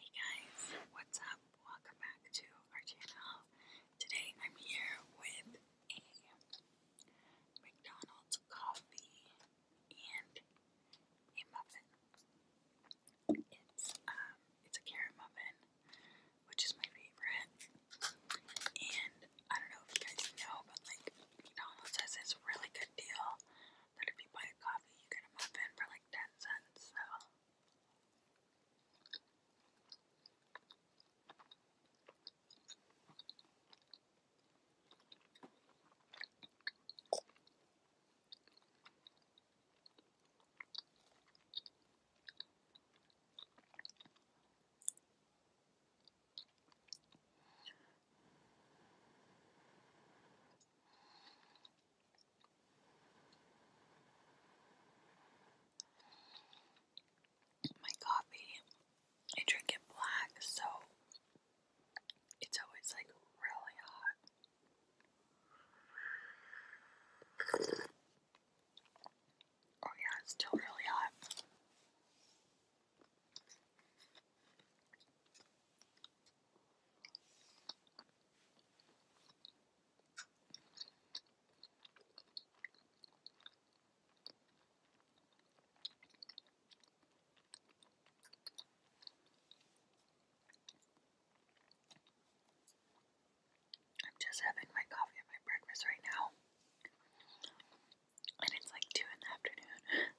Hey guys, what's up? Welcome back to our channel. Today I'm here with a McDonald's coffee and a muffin. It's um, it's a carrot muffin, which is my favorite. And I don't know if you guys know, but like McDonald's has this really good deal but if you buy a coffee, you get a muffin for like 10 cents, so. Oh my coffee, I drink it black, so it's always like really hot. Oh, yeah, it's still really hot. I'm just having my coffee and my breakfast right now, and it's like 2 in the afternoon.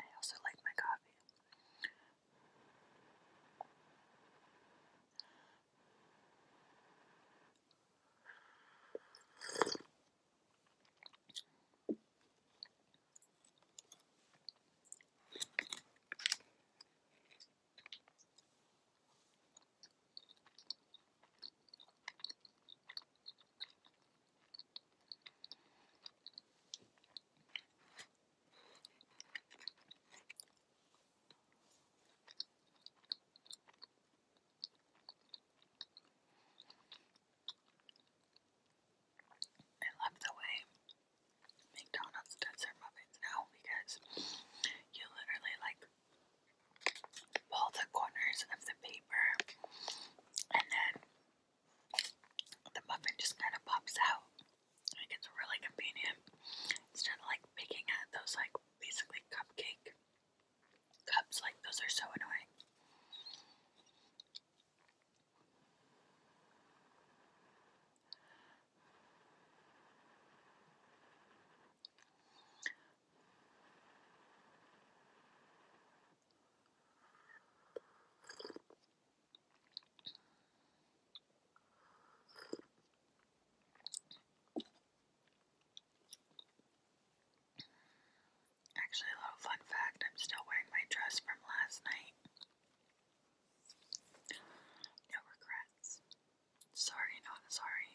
I also like my coffee. I love the way McDonald's does their muffins now because you literally like pull the corners of the paper and then the muffin just kind of pops out. Like it's really convenient. Instead of like picking at those like basically cupcake cups, like those are so annoying. Actually, a little fun fact I'm still wearing my dress from last night. No regrets. Sorry, not sorry.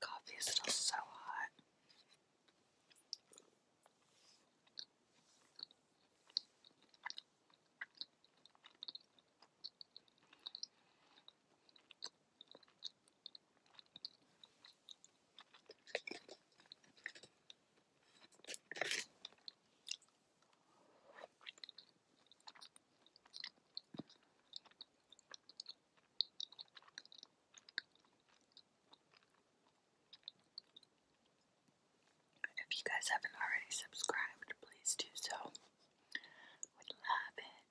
Coffee is still so hot. If you guys haven't already subscribed, please do so. Would love it.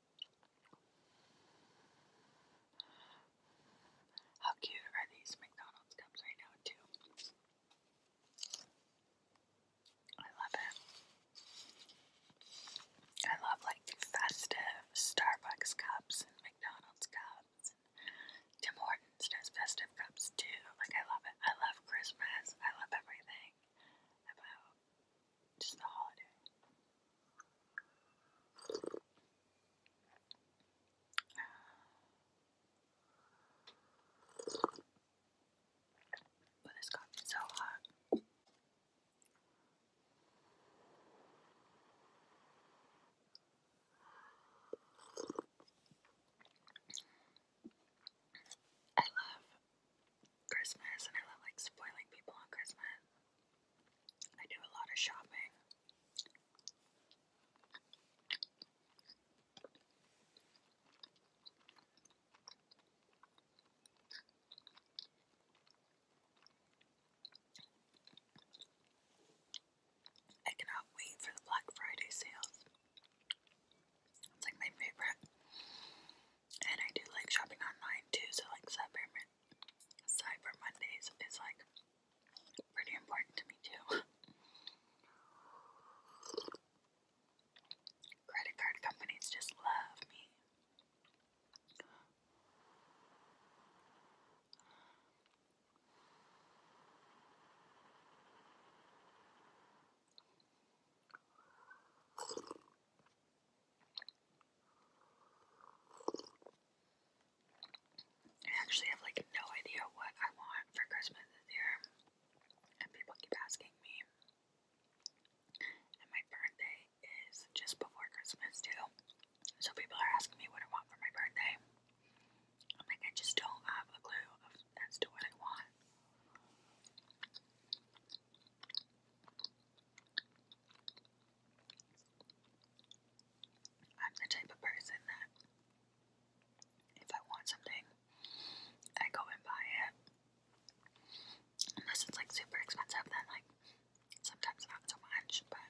How cute are these McDonald's cups right now, too? I love it. I love like festive Starbucks cups and McDonald's cups. Tim Hortons does festive cups too. Like, I love it. I love Christmas. I love everything about just the holiday. But this coffee's so hot. I love Christmas and I love like spoiling people on Christmas. I do a lot of shopping. I cannot wait for the Black Friday sales. It's like my favorite. And I do like shopping online too, so like that very Cyber Mondays is like pretty important to me too. Credit card companies just love me. I actually have like no idea what I want for Christmas this year, and people keep asking me. And my birthday is just before Christmas, too. So people are asking me what I want for my birthday. I'm like, I just don't have a clue as to what I want. I'm the type of person that if I want something, I go and buy it. Unless it's like super expensive, then like sometimes not so much, but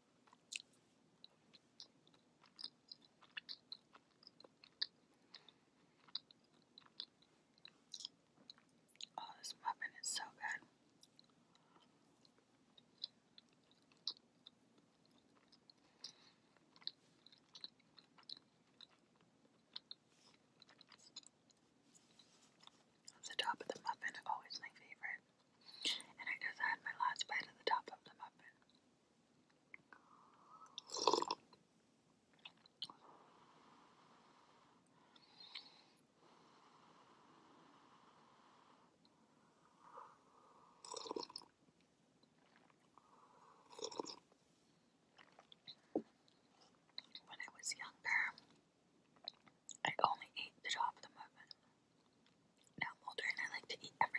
Oh, this muffin is so good. The top of the muffin, always my favorite. And I just had my last bite of the top of the muffin. When I was younger, I only ate the top of the muffin. Now I'm older and I like to eat everything.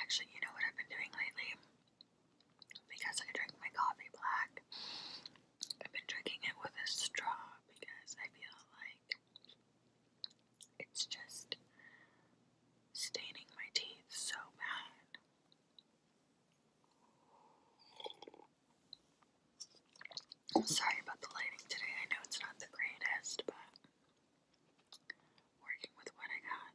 Actually, you know what I've been doing lately? Because I drink my coffee black, I've been drinking it with a straw because I feel like it's just staining my teeth so bad. I'm sorry about the lighting today. I know it's not the greatest, but working with what I got.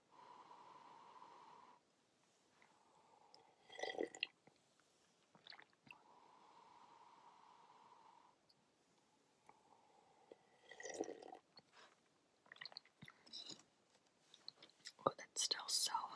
Oh, that's still so hot.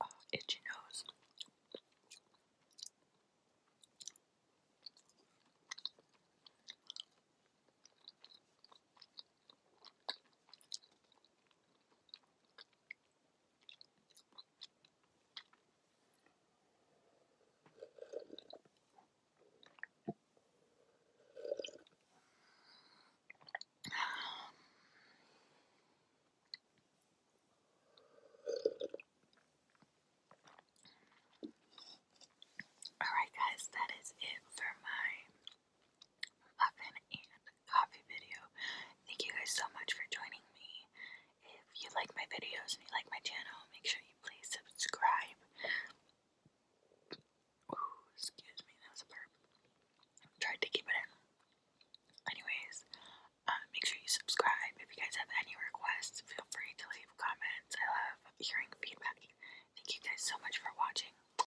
Oh, itchy nose. Alright, guys, that is it for my muffin and coffee video. Thank you guys so much for joining me. If you like my videos and you like my channel, make sure you please subscribe. Ooh, excuse me, that was a burp. tried to keep it in. Anyways, uh, make sure you subscribe. If you guys have any requests, feel free to leave comments. I love hearing feedback. Thank you guys so much for watching.